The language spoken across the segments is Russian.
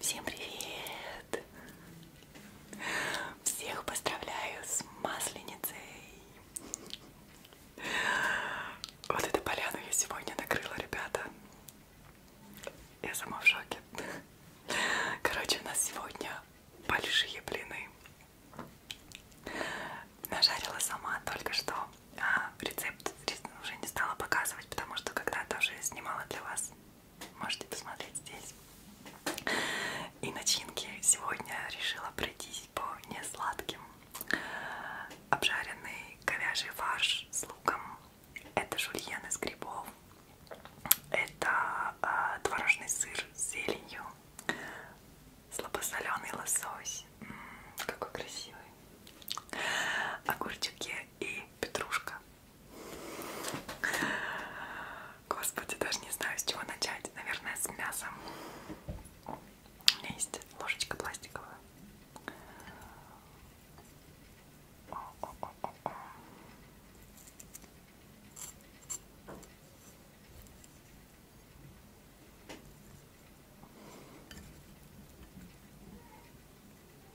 Всем привет! Всех поздравляю с Масленицей! Вот эту поляну я сегодня накрыла, ребята. Я сама в шоке. Короче, у нас сегодня большие блины. Нажарила сама только что. А, рецепт уже не стала показывать, потому что когда-то уже снимала для вас можете посмотреть здесь. И начинки сегодня решила пройтись по несладким. Обжаренный говяжий фарш с луком. Это жульен из грибов. Это э, творожный сыр с зеленью. Слабосоленый лосось. М -м, какой красивый. Огурчики и петрушка. Господи, даже не знаю, с чего начать. Наверное, с мясом. У меня есть ложечка пластиковая. О -о -о -о -о.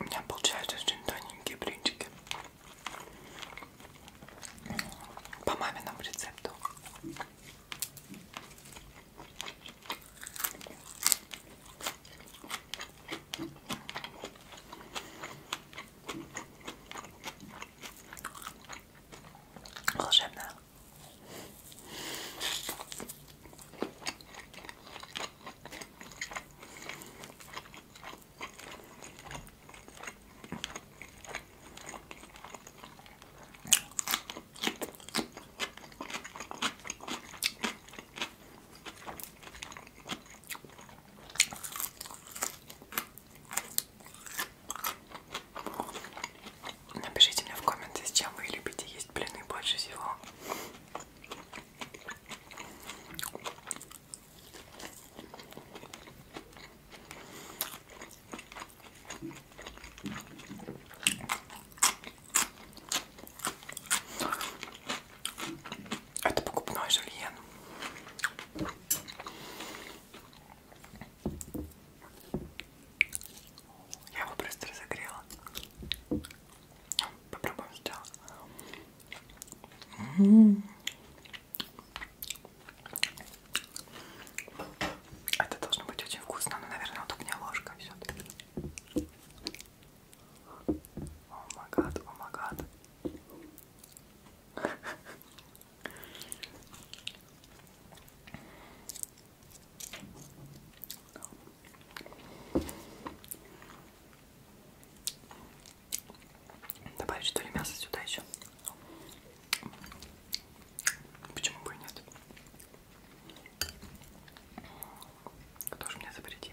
у меня получаются очень тоненькие блинчики по маминому рецепту. Волшебно. Напишите мне в комменты, с чем вы любите есть блины больше всего. Это покупной жульен. Я его просто разогрела. Попробуем сделать. А это должно быть очень вкусно, но, наверное, вот у меня ложка все-таки. О магад, о магад. Добавить что ли мясо сюда еще? Почему бы и нет? Кто же мне запретит?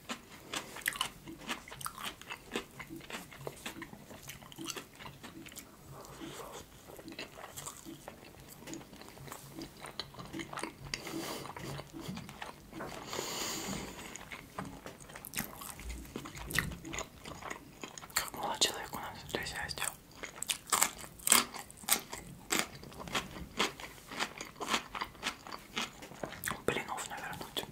Как мало человек у нас в хозяйстве. Блинов навернуть.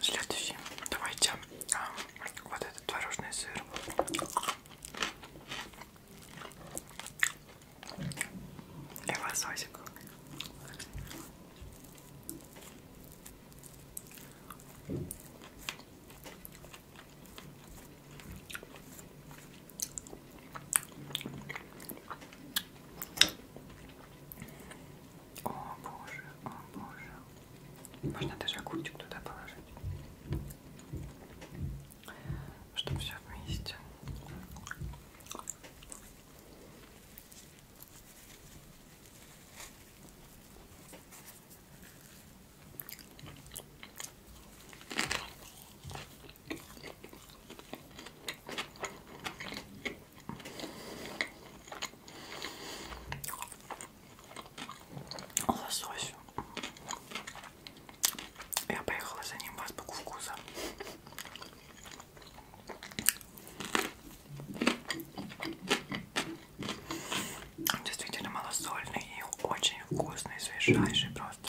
Следующий. Давайте а, вот этот творожный сыр. И лососик. О боже, о боже. Можно даже огурчик туда положить. Чтобы все вместе. Лосось. Я поехала за ним в азбуку вкуса. Он действительно малосольный и очень вкусный, свежайший просто.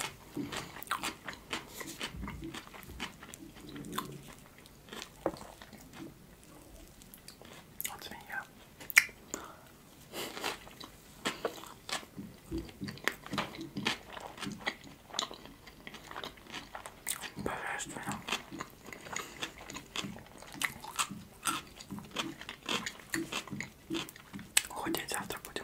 Вот свинья. Божественно. Худеть завтра будем.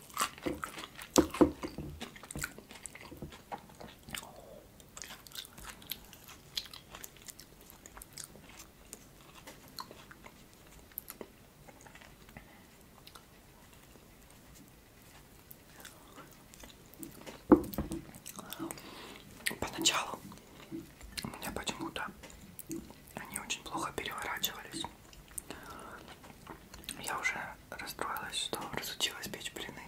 Поначалу у меня почему-то они очень плохо переворачивались. Я уже расстроилась, что разучилась печь блины.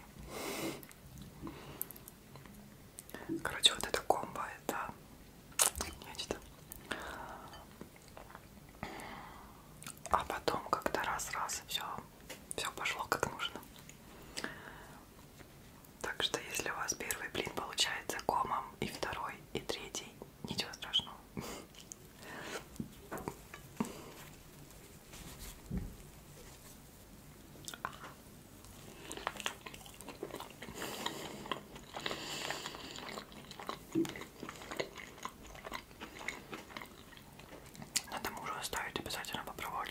Короче, вот это комбо, это нечто. А потом как-то раз-раз и все, все пошло как нужно. Так что если у вас первый блин получается комом, и второй, и третий, ничего страшного. Надо мужу оставить, обязательно попробовать.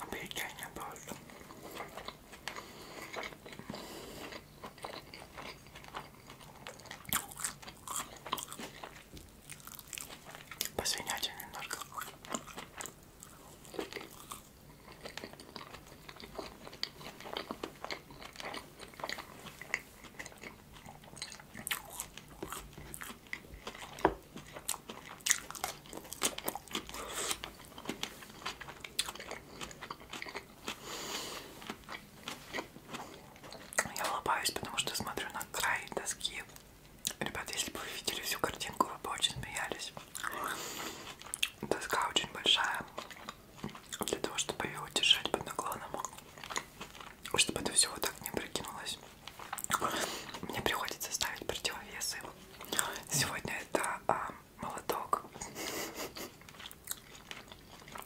Объедение просто. Посвинять немножко. Я улыбаюсь, потому что смотрю на край доски. Ребят, если бы вы видели всю картинку, вы бы очень смеялись. Доска очень большая. Для того, чтобы ее удержать под наклоном. Чтобы это все вот так не прикинулось. Мне приходится ставить противовесы. Сегодня это а, молоток,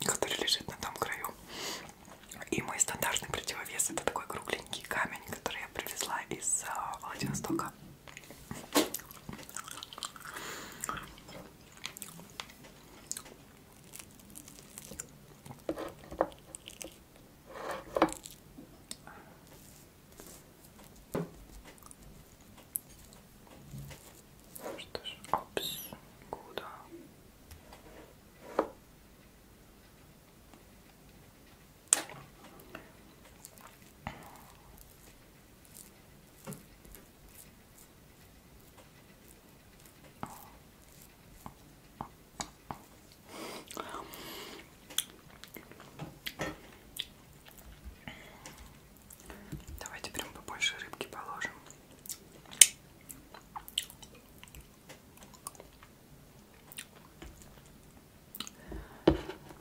который лежит на том краю. И мой стандартный противовес это такой кругленький камень, который я привезла из а, Владивостока. Что ж, опс, куда? Давайте прям побольше рыбки положим.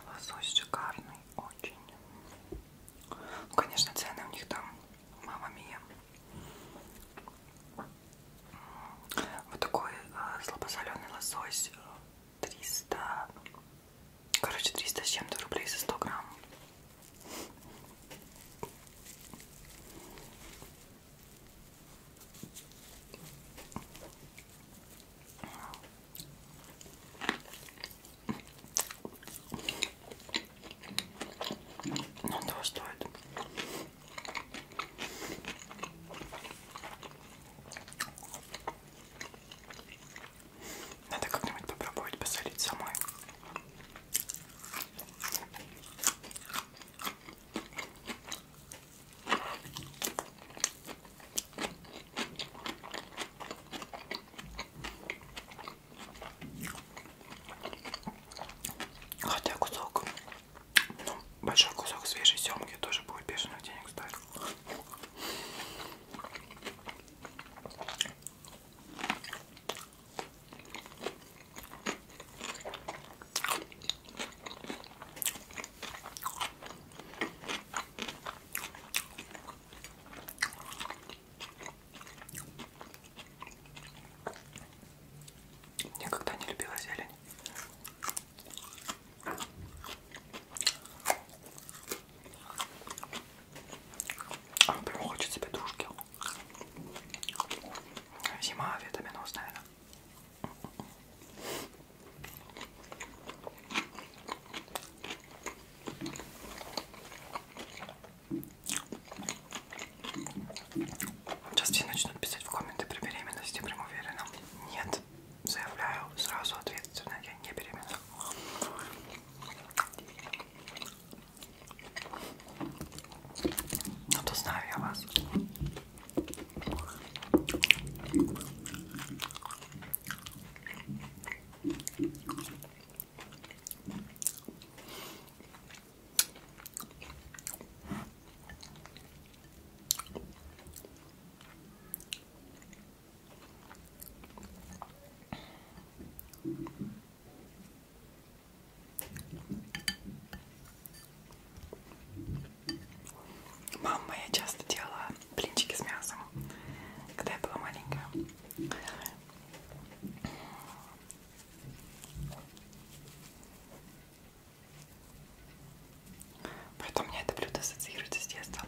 Лосось шикарный, очень. Ну, конечно, цены у них там, мама мия. Вот такой э, слабосоленый лосось э, 300, короче, 300 с чем-то рублей за 100 грамм. Ну, того стоит. Надо как-нибудь попробовать посолить самой. Хотя кусок, ну, большой кусок свежей семги тоже будет бешеных денег стоить. Никогда не любила зелень. А прям хочется петрушки. Зима, витаминос, а наверное. Сейчас все начнут писать в комменты при беременности, прям уверена. Нет, нет. Заявляю сразу ответственно, я не беременна. Ну то знаю я вас. Мама моя часто делала блинчики с мясом, когда я была маленькая. Поэтому у меня это блюдо ассоциируется с детством.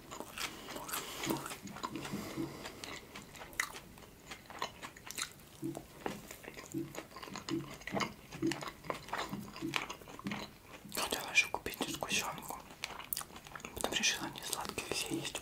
Хотела еще купить сгущенку. Потом решила не сладкие все есть.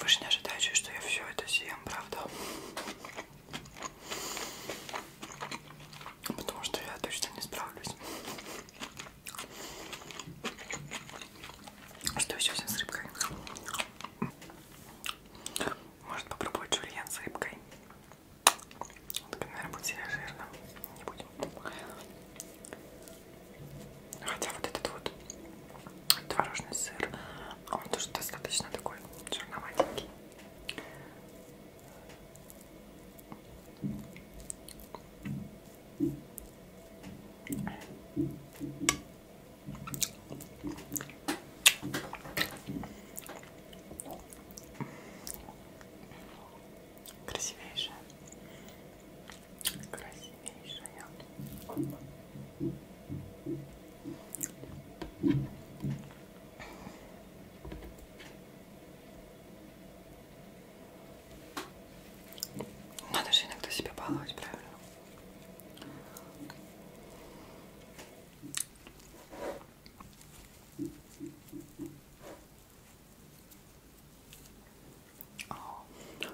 Вы же не ожидаете, что я все это съем, правда? Потому что я точно не справлюсь. Что еще с рыбкой? Может попробовать жульен с рыбкой? Так, наверное, будет сильно жирно. Не будем. Хотя вот этот вот творожный сыр, он тоже достаточно такой черноватенький. Красивейшая красивейшая. Надо же иногда себя баловать, правильно?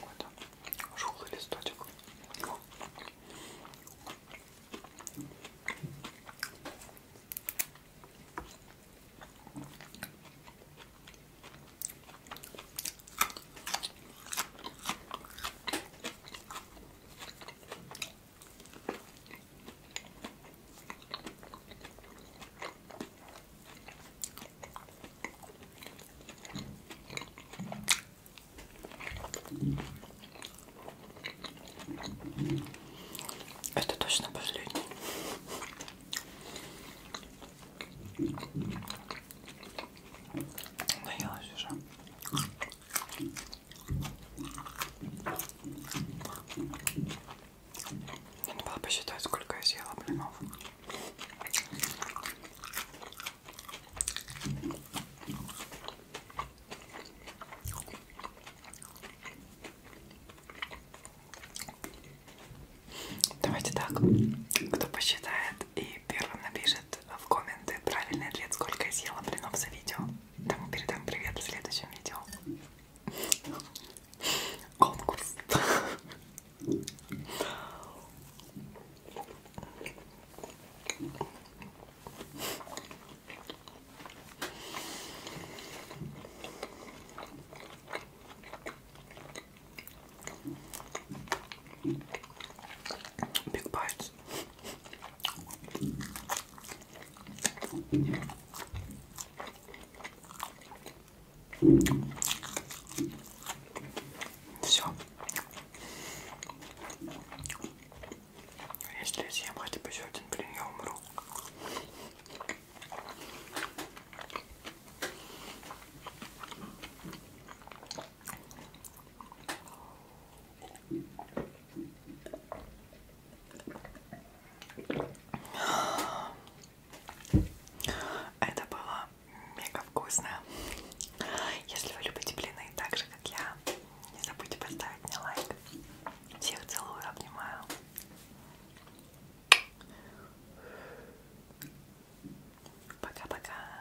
Какой-то жухлый листочек. Это точно последний. Наелась уже. Надо было посчитать, сколько я съела блинов. Давайте так, кто посчитает и первым напишет в комменты правильный ответ, сколько я съела блинов за видео. Тому передам привет в следующем видео. Конкурс. Big bites. Все. Если съем хотя бы еще один блин, я умру. А это было мега вкусно. Если вы любите блины так же, как я, не забудьте поставить мне лайк. Всех целую, обнимаю. Пока-пока.